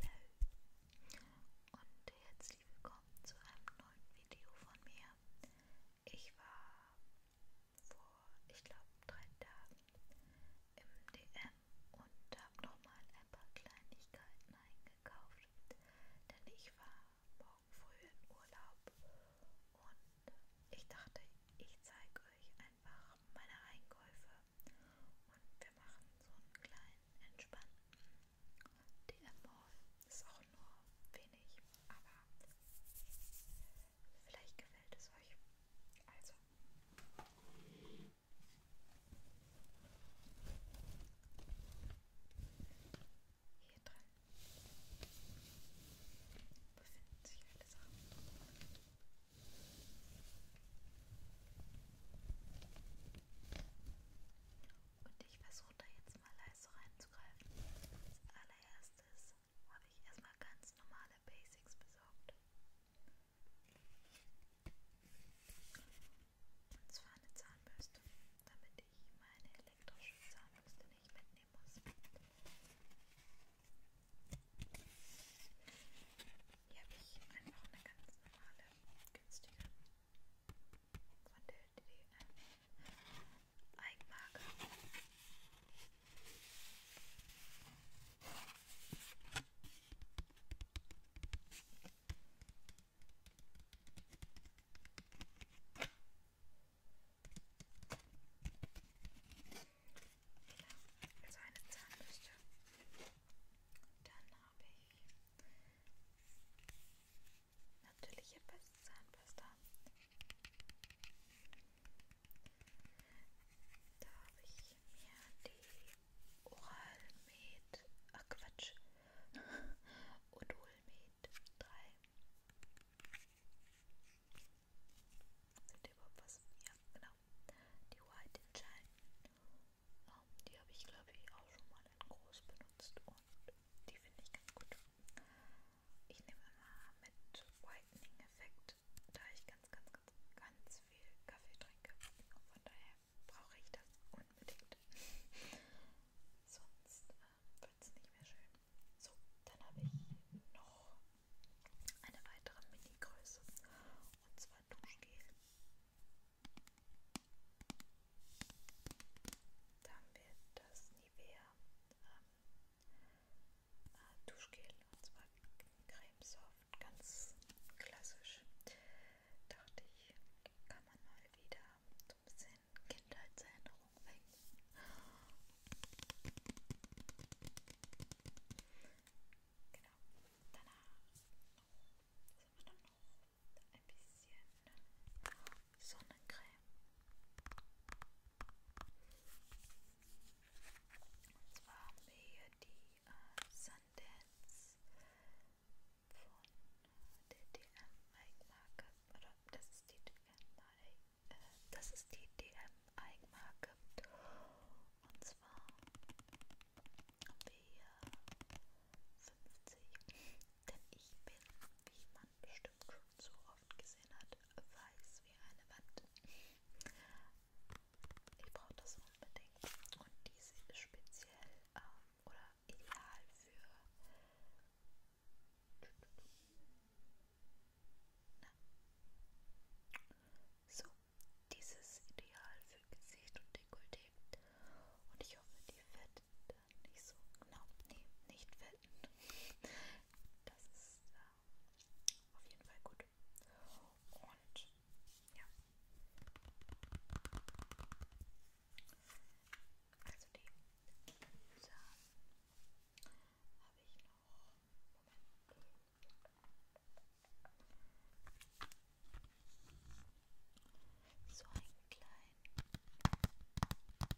Hello und herzlich willkommen zu einem neuen Video von mir. Ich war vor, ich glaube, drei Tagen im DM und habe nochmal ein paar Kleinigkeiten eingekauft, denn ich war morgen früh in Urlaub und ich dachte, ich zeige euch einfach meine Einkäufe und wir machen so einen kleinen entspannten DM-Haul. Ist auch nur wenig, aber vielleicht gefällt es euch. Also. Hier drin befinden sich alle Sachen. Und ich versuche da jetzt mal leise reinzugreifen. Als allererstes habe ich erstmal ganz normale Basics besorgt. Und zwar eine Zahnbürste, damit ich meine elektrische Zahnbürste nicht mitnehmen muss. Hier habe ich einfach eine ganz normale, günstige von der DDM Eigenmarke also eine Zahnbürste. Und dann habe ich natürliche Zahnpasta. Da habe ich mir die Oralmed, ach Quatsch, Odolmed 3. Sind überhaupt was? Ja, genau die White entscheiden. Um, ähm, die habe ich glaube ich auch schon mal in groß benutzt und die finde ich ganz gut. Ich nehme immer mit Whitening Effekt, da ich ganz, ganz, ganz, ganz viel Kaffee trinke. Und von daher brauche ich das unbedingt. Sonst äh, wird es nicht mehr schön. So, dann habe ich noch eine weitere Mini-Größe und zwar Duschgel. Da haben wir das Nivea ähm, äh, Duschgel und zwar Creme Soft, ganz klassisch. Dachte ich, kann man mal wieder so ein bisschen Kindheitserinnerung wecken. Genau. Danach noch, dann noch ein bisschen Sonnencreme. Und zwar haben wir hier die äh, Sundance von der DM Mike Marke. Oder das ist die DM Mike. Äh, das ist die DM Eigenmarke. Und zwar haben wir hier 50, denn ich bin, wie man bestimmt schon so oft gesehen hat, weiß wie eine Wand. Ich brauche das unbedingt und diese ist speziell ähm, oder ideal für na, so dieses Ideal für Gesicht und Dekolleté. Und ich hoffe, die fett dann nicht so genau. Nee, nicht fett. Das ist äh, auf jeden Fall gut. Und ja. Also die. Dann habe ich noch. Moment. So einen kleinen Balea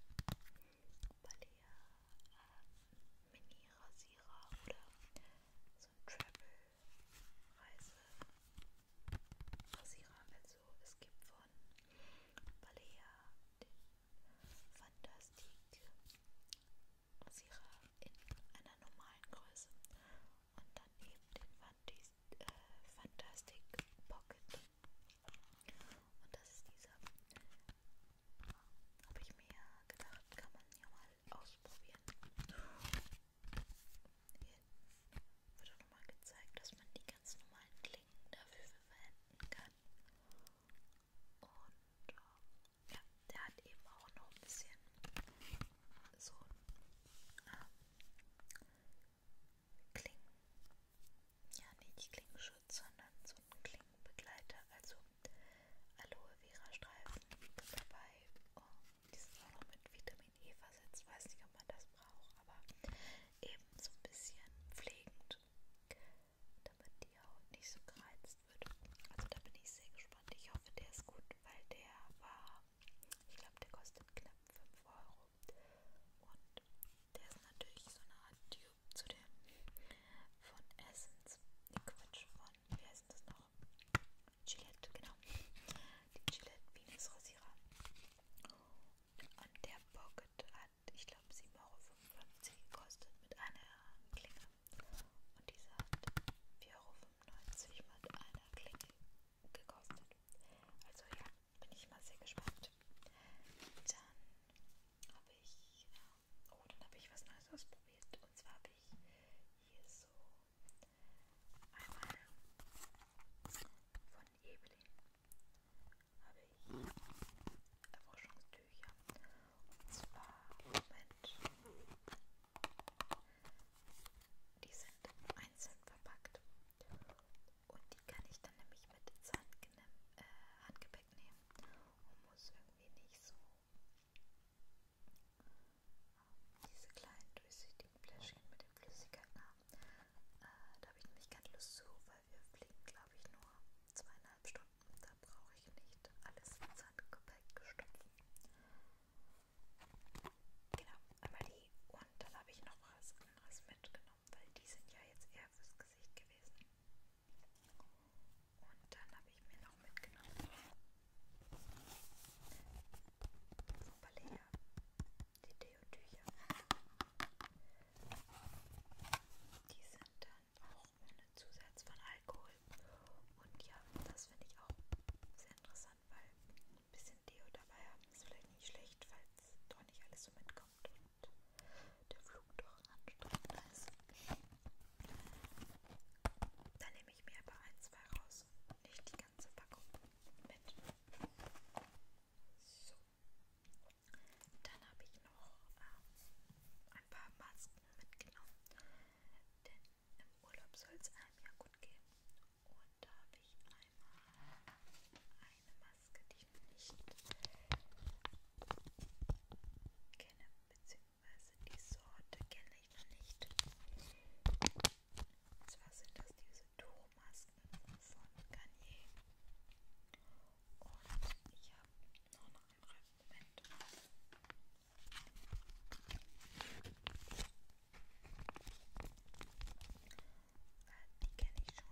äh, Mini-Rasierer oder so ein Travel-Reise-Rasierer. Also, also es gibt von Balea den Fantastik Rasierer in einer normalen Größe und dann eben den Fantis, äh, Fantastic Pocket. Und das ist dieser. Habe ich mir gedacht, kann man ja mal ausprobieren. Hier wird auch nochmal gezeigt, dass man die ganz normalen Klingen dafür verwenden kann. Und äh, ja, der hat eben auch noch ein bisschen so ähm, Klingen. Ja, nicht Klingenschutz, sondern so einen Klingenbegleiter, also Aloe Vera Streifen dabei. Und oh, die sind auch noch mit Vitamin E versetzt. Weiß nicht, ob man das braucht, aber eben so ein bisschen pflegend, damit die Haut nicht so gereizt wird. Also da bin ich sehr gespannt. Ich hoffe, der ist gut, weil der war, ich glaube, der kostet knapp 5 Euro. Und der ist natürlich so eine Art Tube zu dem von Essence. Die Quatsch von, wie heißt das noch? Gillette, genau. Die Gillette Venus Rasierer. Und der Pocket hat, ich glaube, 7,55 Euro gekostet mit einer Klinge. Und diese hat 4,95 Euro mit einer Klinge gekostet. Also ja, bin ich mal sehr gespannt. Dann habe ich, äh, oh, dann habe ich was Neues ausprobiert. Und zwar habe ich hier so einmal von Evelyn habe ich Erforschungstücher Taschentücher. Und zwar mit. Die sind einzeln verpackt. Und die kann ich dann nämlich mit ins Handge äh, Handgepäck nehmen. Und muss irgendwie nicht so ähm, diese kleinen durchsichtigen Fläschchen mit den Flüssigkeiten haben. Äh, da habe ich nämlich keine Lust zu, weil wir fliegen, glaube ich, nur zweieinhalb eineinhalb Stunden. Da brauche ich nicht alles ins Handgepäck gestopfen. Genau, einmal die. Und dann habe ich noch was anderes mitgenommen, weil die sind ja jetzt eher fürs Gesicht gewesen. Und dann habe ich mir noch mitgenommen. Vorbelea, die Deotücher. Die sind da auch ohne Zusatz von Alkohol. Und ja, das finde ich auch sehr interessant, weil ein bisschen Deo dabei haben ist vielleicht nicht schlecht, falls doch nicht alles so mitkommt und der Flug doch anstrengender ist. Dann nehme ich mir aber ein, zwei raus und nicht die ganze Packung mit. So. Dann habe ich noch ähm, ein paar Masken mitgenommen, denn im Urlaub soll es einem ja gut gehen. Und da habe ich einmal eine Maske, die ich nicht kenne, beziehungsweise die Sorte kenne ich noch nicht. Und zwar sind das diese Tuchmasken von Garnier. Und ich habe noch eine den Rückenwind. Äh, die kenne ich schon,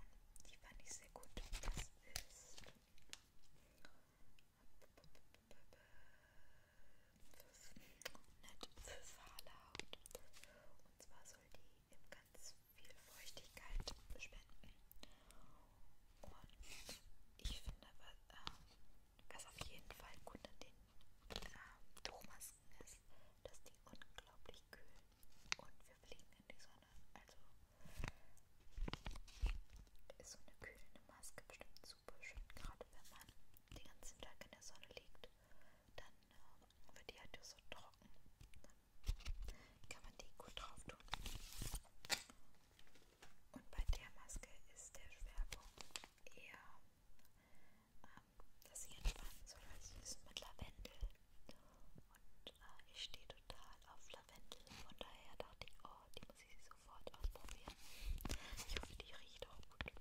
die fand ich sehr gut. Das ist nett für Fahrlaut. Und zwar soll die eben ganz viel Feuchtigkeit spenden. Und ich finde, was, ähm, was auf jeden Fall gut an den ähm, Tuchmasken ist, dass die unglaublich kühlen und wir fliegen in die Sonne. Also ist so eine kühlende Maske bestimmt super schön, gerade wenn man den ganzen Tag in der Sonne liegt, dann äh, wird die halt so trocken. Dann kann man die gut drauf tun. Und bei der Maske ist der Schwerpunkt eher, ähm, dass sie entspannen soll. Also sie ist mit Lavendel und äh, ich stehe total auf Lavendel. Von daher dachte ich, oh, die muss ich sofort ausprobieren. Ich hoffe, die riecht auch gut.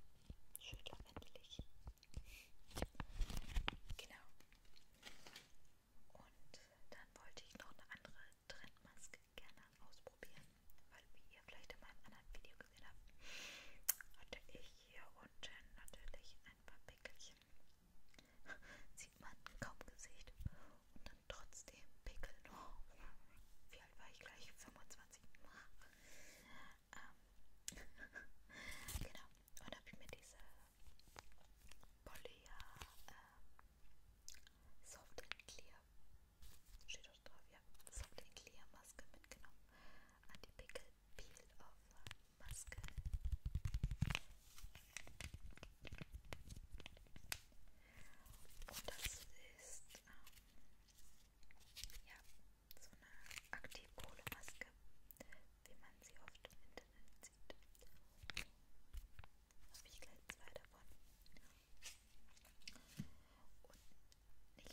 Schön lavendelig. Genau. Und dann wollte ich noch eine andere Trendmaske gerne ausprobieren, weil wie ihr vielleicht in meinem anderen Video gesehen habt, hatte ich hier unten natürlich ein paar Pickelchen. Sieht man kaum Gesicht und dann trotzdem Pickel noch. Wie alt war ich gleich? 25. Ähm, genau. Und habe ich mir diese Polya äh, Soft and Clear. Steht auch drauf, ja. Soft and Clear Maske mitgenommen. Anti-Pickel Peel Off Maske. Und das ist, ähm, ja, so eine Aktivkohlemaske, wie man sie oft im Internet sieht habe ich gleich zwei davon. Und nicht nur für die, ähm,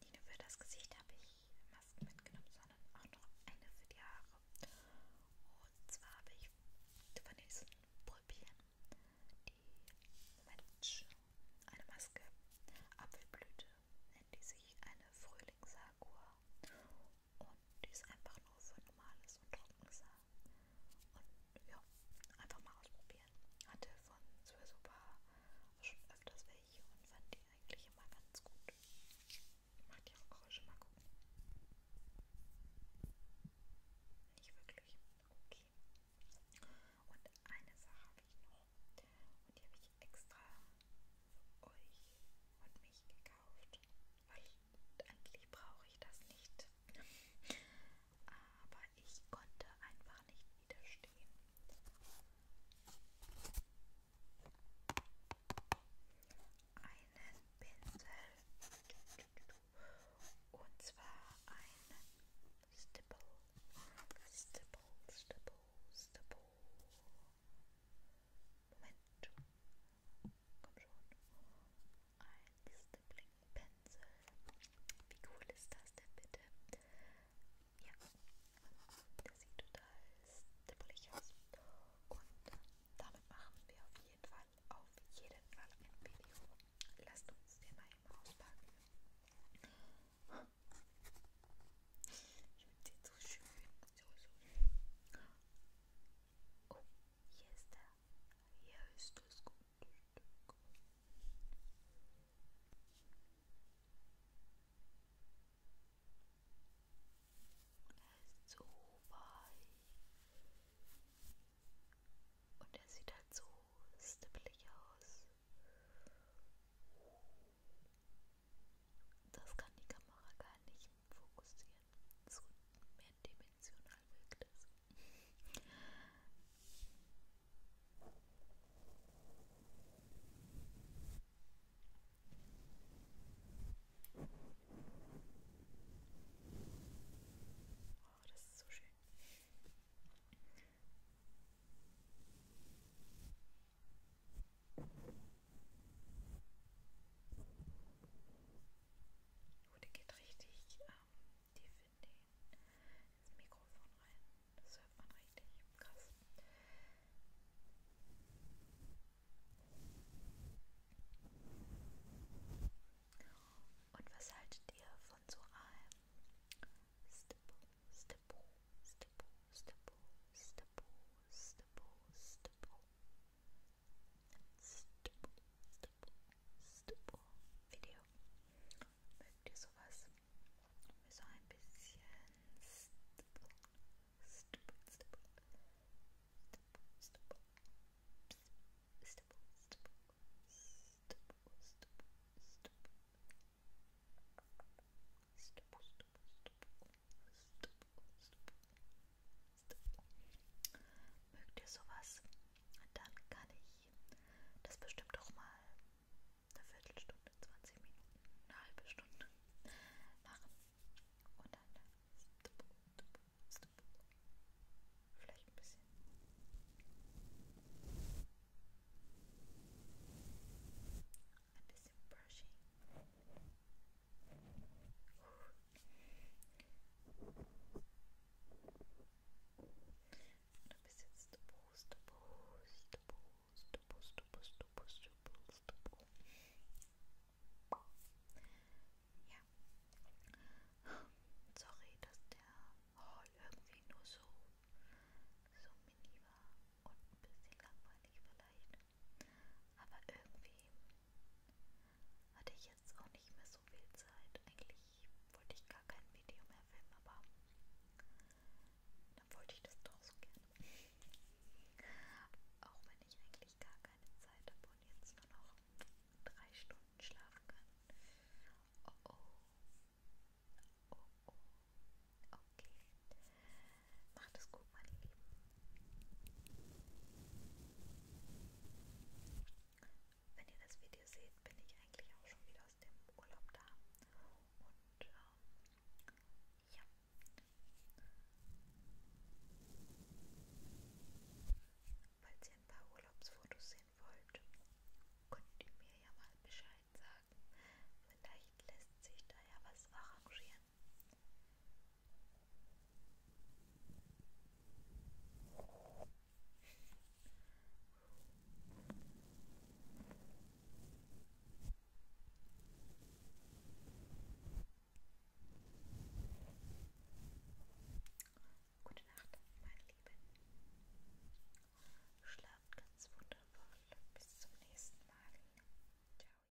nicht nur für das Gesicht habe ich Masken mitgenommen, sondern auch noch eine für die Haare. Und zwar habe ich von diesen Pulpien die Mensch, eine Maske, Apfelblüte, nennt die sich eine Frühlingssakura und die ist einfach nur für normales und Trockensar. Und ja, einfach mal ausprobieren. Hatte von sowieso schon öfters welche und fand die eigentlich immer ganz gut. Macht ja auch Geräusche, mal gucken. Nicht wirklich. Okay. Und eine Sache habe ich noch. Und die habe ich extra für euch und mich gekauft weil eigentlich brauche ich das nicht. Aber ich konnte einfach nicht widerstehen. Einen Pinsel und zwar ein Stipple, Stipple, Stipple, Stipple. Moment. Komm schon. Ein Stippling Pencil. Wie cool ist das denn bitte? Ja, der sieht total stippelig aus. Und damit machen wir auf jeden Fall, auf jeden Fall ein Video. Lasst uns den mal eben auspacken. Ich finde sie so schön. So, so. Oh, hier ist er. Hier ist das gute Stück. Er ist so weich. Und er sieht halt so stippelig aus. Das kann die Kamera gar nicht fokussieren. So mehrdimensional wirkt es. Oh, das ist so schön. Oh, der geht richtig ähm, tief in den, ins Mikrofon rein. Das hört man richtig krass. Und was haltet ihr von so einem Stippo, Stippo, Stippo, Stippo, Stippo, Stippo, Stippo? stipple, stipple, stipple Video mögt so ein bisschen stipple, stipple, stipple, Mögt ihr sowas? Dann kann ich das bestimmt doch mal eine Viertelstunde, 20 Minuten, eine halbe Stunde machen. Und dann vielleicht ein bisschen. Ein bisschen brushing. Uh, Du bist jetzt Puste, Puste, Puste, Puste, Puste, Puste, Puste, Ja. Sorry, dass der Hall irgendwie nur so, so mini war und ein bisschen langweilig vielleicht. Aber irgendwie hatte ich jetzt auch nicht mehr so viel Zeit. Eigentlich wollte ich gar kein Video mehr filmen, aber dann wollte ich das doch so gerne. Auch wenn ich eigentlich gar keine Zeit habe und jetzt nur noch drei Stunden schlafen kann. Oh oh. Oh oh. Okay. Macht es gut, meine Lieben. Wenn ihr das Video seht, bin ich eigentlich auch schon wieder aus dem Urlaub da. Und ähm, ja. Falls ihr ein paar Urlaubsfotos sehen wollt, könnt ihr mir ja mal Bescheid sagen. Vielleicht lässt sich da ja was arrangieren. Gute Nacht, meine Lieben. Schlaft ganz wundervoll. Bis zum nächsten Mal. Ciao.